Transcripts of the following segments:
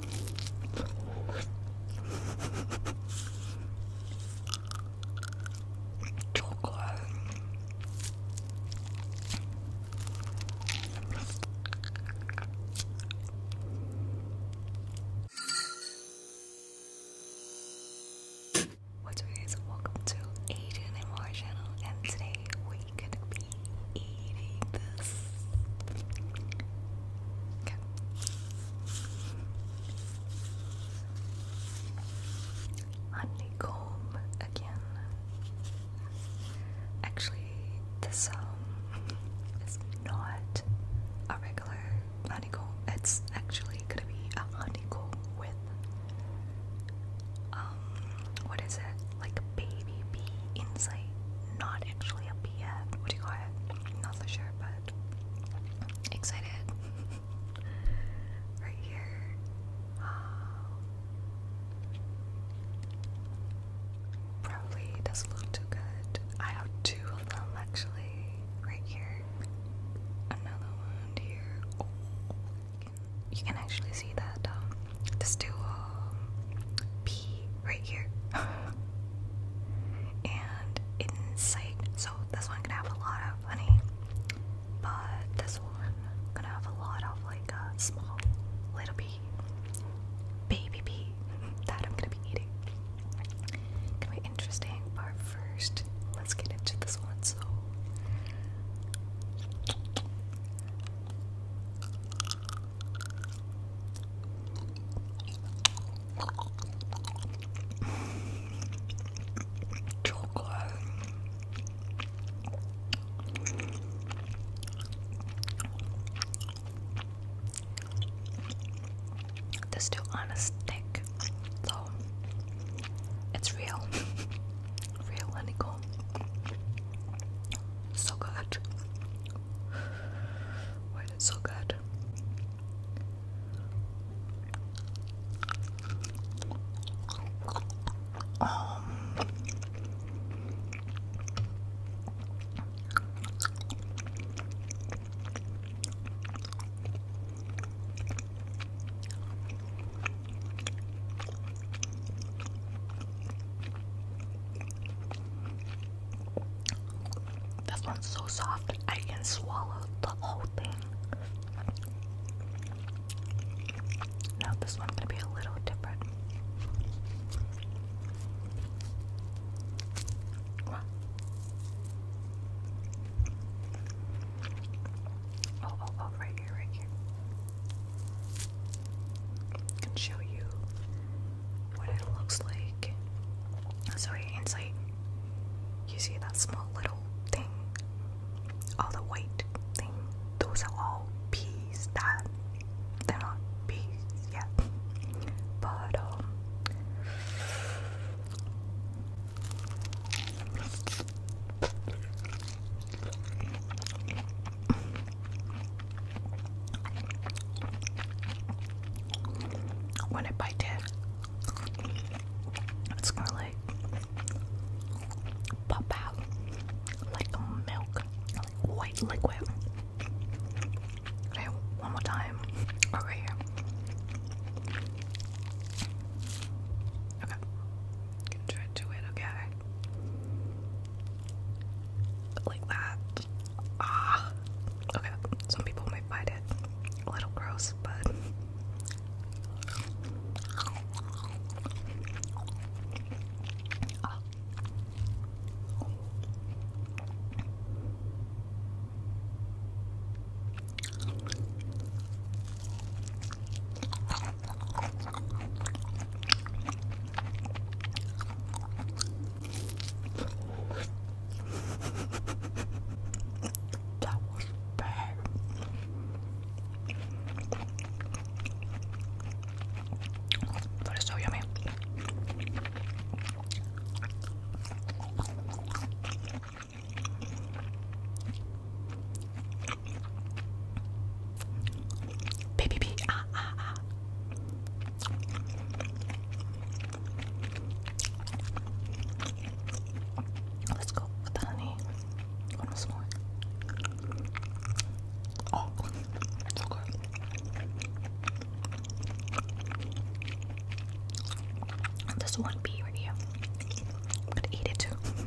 Chocolate. What's up guys, welcome to Aiden and my channel and today we are gonna be eating this. Honeycomb again. Actually, this um is not a regular honeycomb. It's actually gonna be a honeycomb with um what is it? like a baby bee inside, not actually a bee yet. What do you call it? not so sure, but excited. right here. Um, probably doesn't look too good. I have two of them actually. Right here. Another one here. Oh, you can actually see that um, Let's do uh, right here. and insight. So this one gonna have a lot of honey. But this one gonna have a lot of like a uh, small little bee. Baby bee. that I'm gonna be eating. Gonna be interesting, but first let's get into this one. So Chocolate. This still on a so it's real, real honeycomb. So good. Why is so good? Um, this one's so soft, I can swallow the whole thing. Now, this one's gonna be a little different. oh, oh, oh right here, right here. I can show you what it looks like. So inside, you see that small little thing, all the white thing. Those are all peas. That they're not peas yet, but um. When I bite it, it's gonna like pop out like milk, white liquid. Okay, one more time. Right, here. Okay. try to do it, okay like that. Ah, okay. Some people might find it a little gross, but that was bad. But it's so yummy. Baby B. Ah, ah, ah. Let's go with the honey. One more oh, so good. This one B right here. I'm gonna eat it too.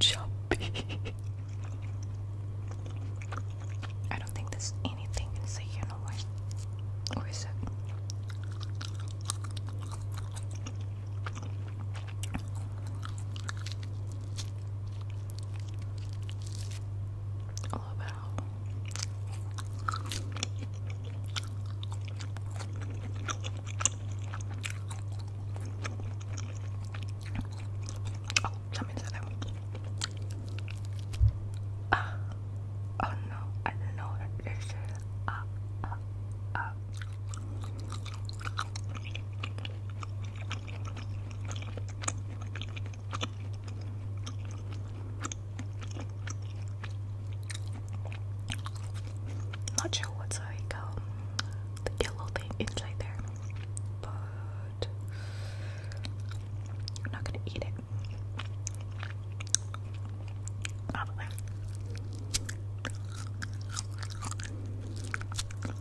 Choppy. I don't think there's anything inside here no Or is it? Oh, I love how Oh, something said that. Uh, oh no, I didn't know that this is up, up, not sure what's like um, the yellow thing inside there, but I'm not gonna eat it. Out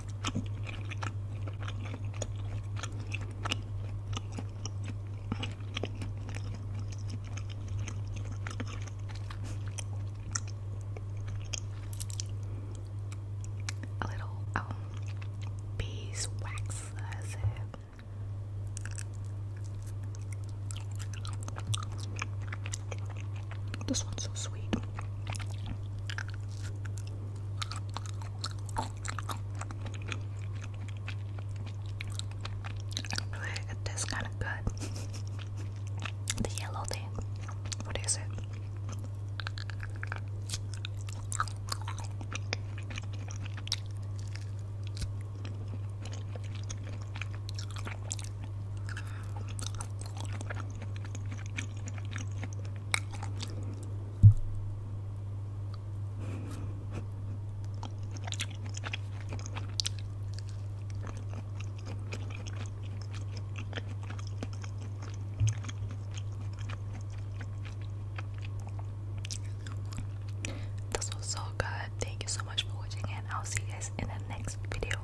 A little um, beeswax, This one's so sweet it tastes kind of good. the yellow thing. What is it? This was so good. Thank you so much for watching, and I'll see you guys in the next video.